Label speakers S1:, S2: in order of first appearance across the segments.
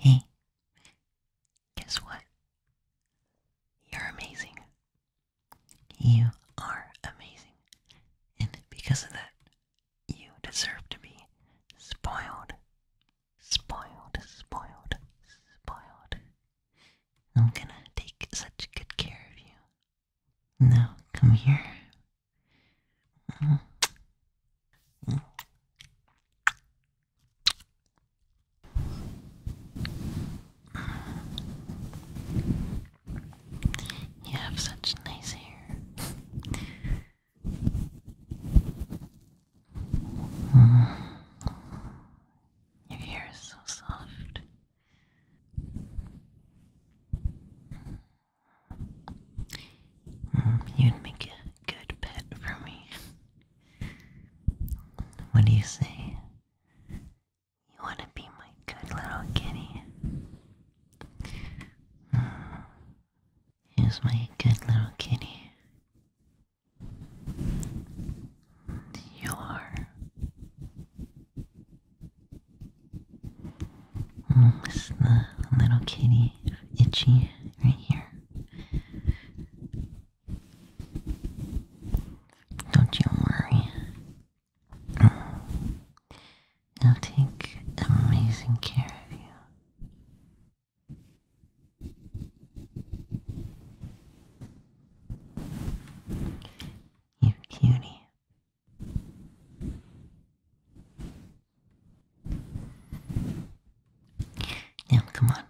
S1: Hey, guess what? You're amazing. You are amazing. And because of that, you deserve to be spoiled. Spoiled, spoiled, spoiled. I'm gonna
S2: take such good care of you. Now, come here. Mm. You have
S1: such nice hair. Your hair is so soft. You'd make a good pet for me. What do you say? You want to be my good little kitty? Hmm. Here's my good little kitty. You're mm, this is the little kitty itchy right here. Don't you worry. I'll take amazing care of you. You cutie. Now, come on.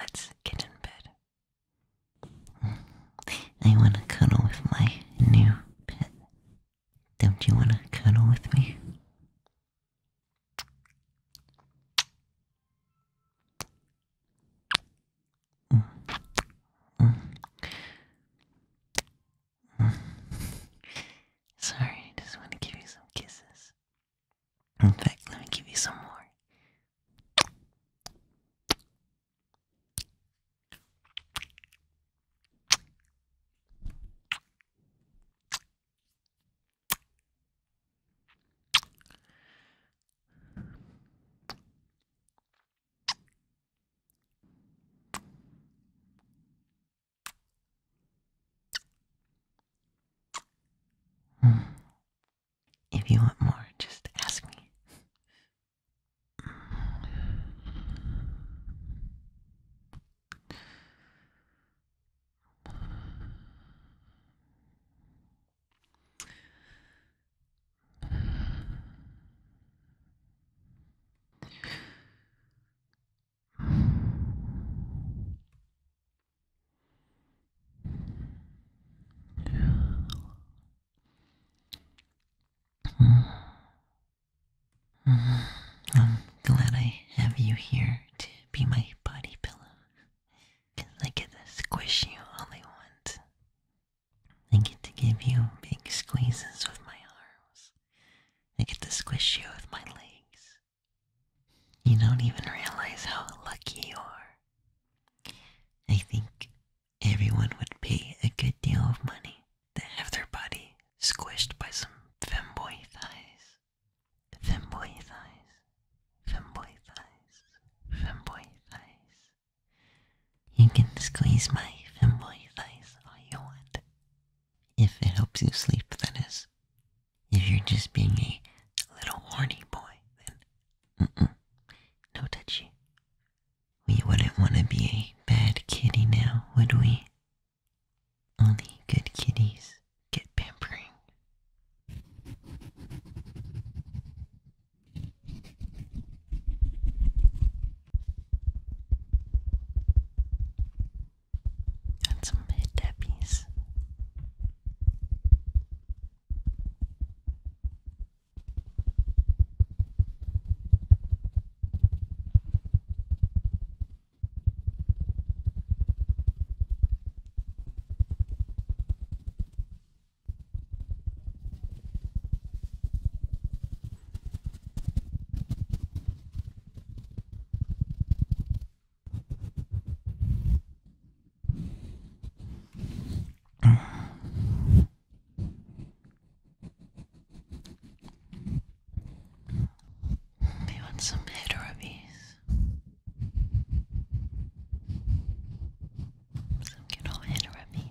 S1: Let's get in bed. Mm. I want to cuddle with my new pet. Don't you want to cuddle with me? Mm. Mm. Sorry, I just want to give you some kisses. In fact, let me give you some more.
S2: If you want
S1: more, just ask me.
S2: I'm
S1: glad I have you here to be my body pillow. Cause I get to squish you all I want. I get to give you big squeezes with my arms. I get to squish you with my legs. You don't even realize how lucky you are. I think everyone would pay a good deal of money to have their body squished by some femboy thighs. Femboy thighs. Femboy thighs. Femboy thighs. You can squeeze my femboy thighs all you want. If it helps you sleep, that is. If you're just being a little horny boy, then mm-mm, no touchy. We wouldn't want to be a bad kitty now, would we? Only good kitties get pampering and some big tappies. Do you want some head rubbies? Some good old head rubbies.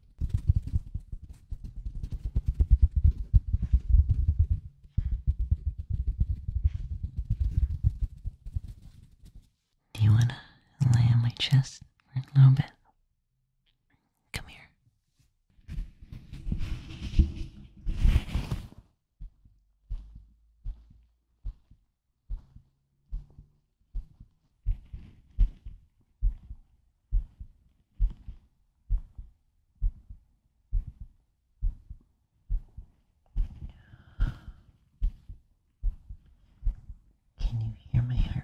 S1: Do you want to lay on my chest for a little bit? Come here. Can you hear my heartbeat?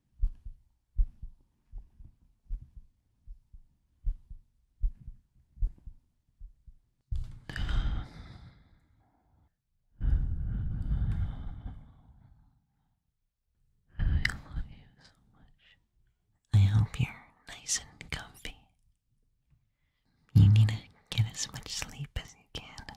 S1: I love you so much. I hope you're nice and comfy. You need to get as much sleep as you can.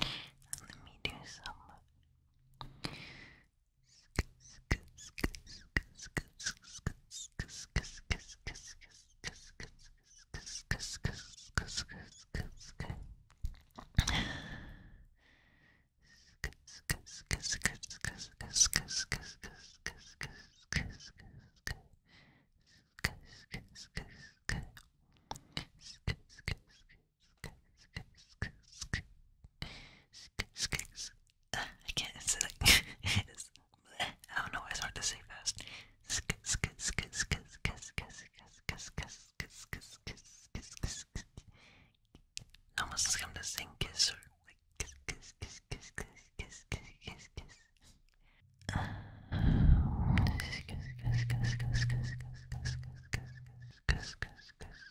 S1: let me do some.
S2: Uh, I can't. It's like it's,
S1: I don't know. It's hard to say fast. Almost like I'm just saying kiss or like kiss, kiss, kiss, kiss, kiss, kiss, kiss, kiss, kiss. Kiss, kiss, kiss, kiss, kiss, kiss, kiss, kiss, kiss, kiss, kiss, kiss, kiss.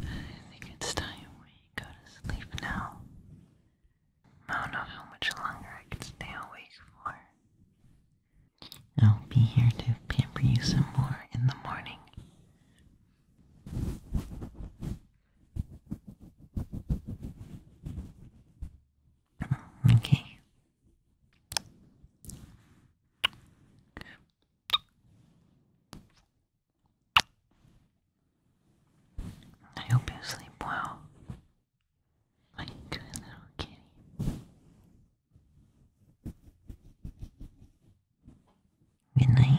S1: I think it's time we go to sleep now. I don't know how much longer I can stay awake for. I'll be here to pamper you some more in the morning. Okay.
S2: I hope you sleep well. My good little kitty. Good night.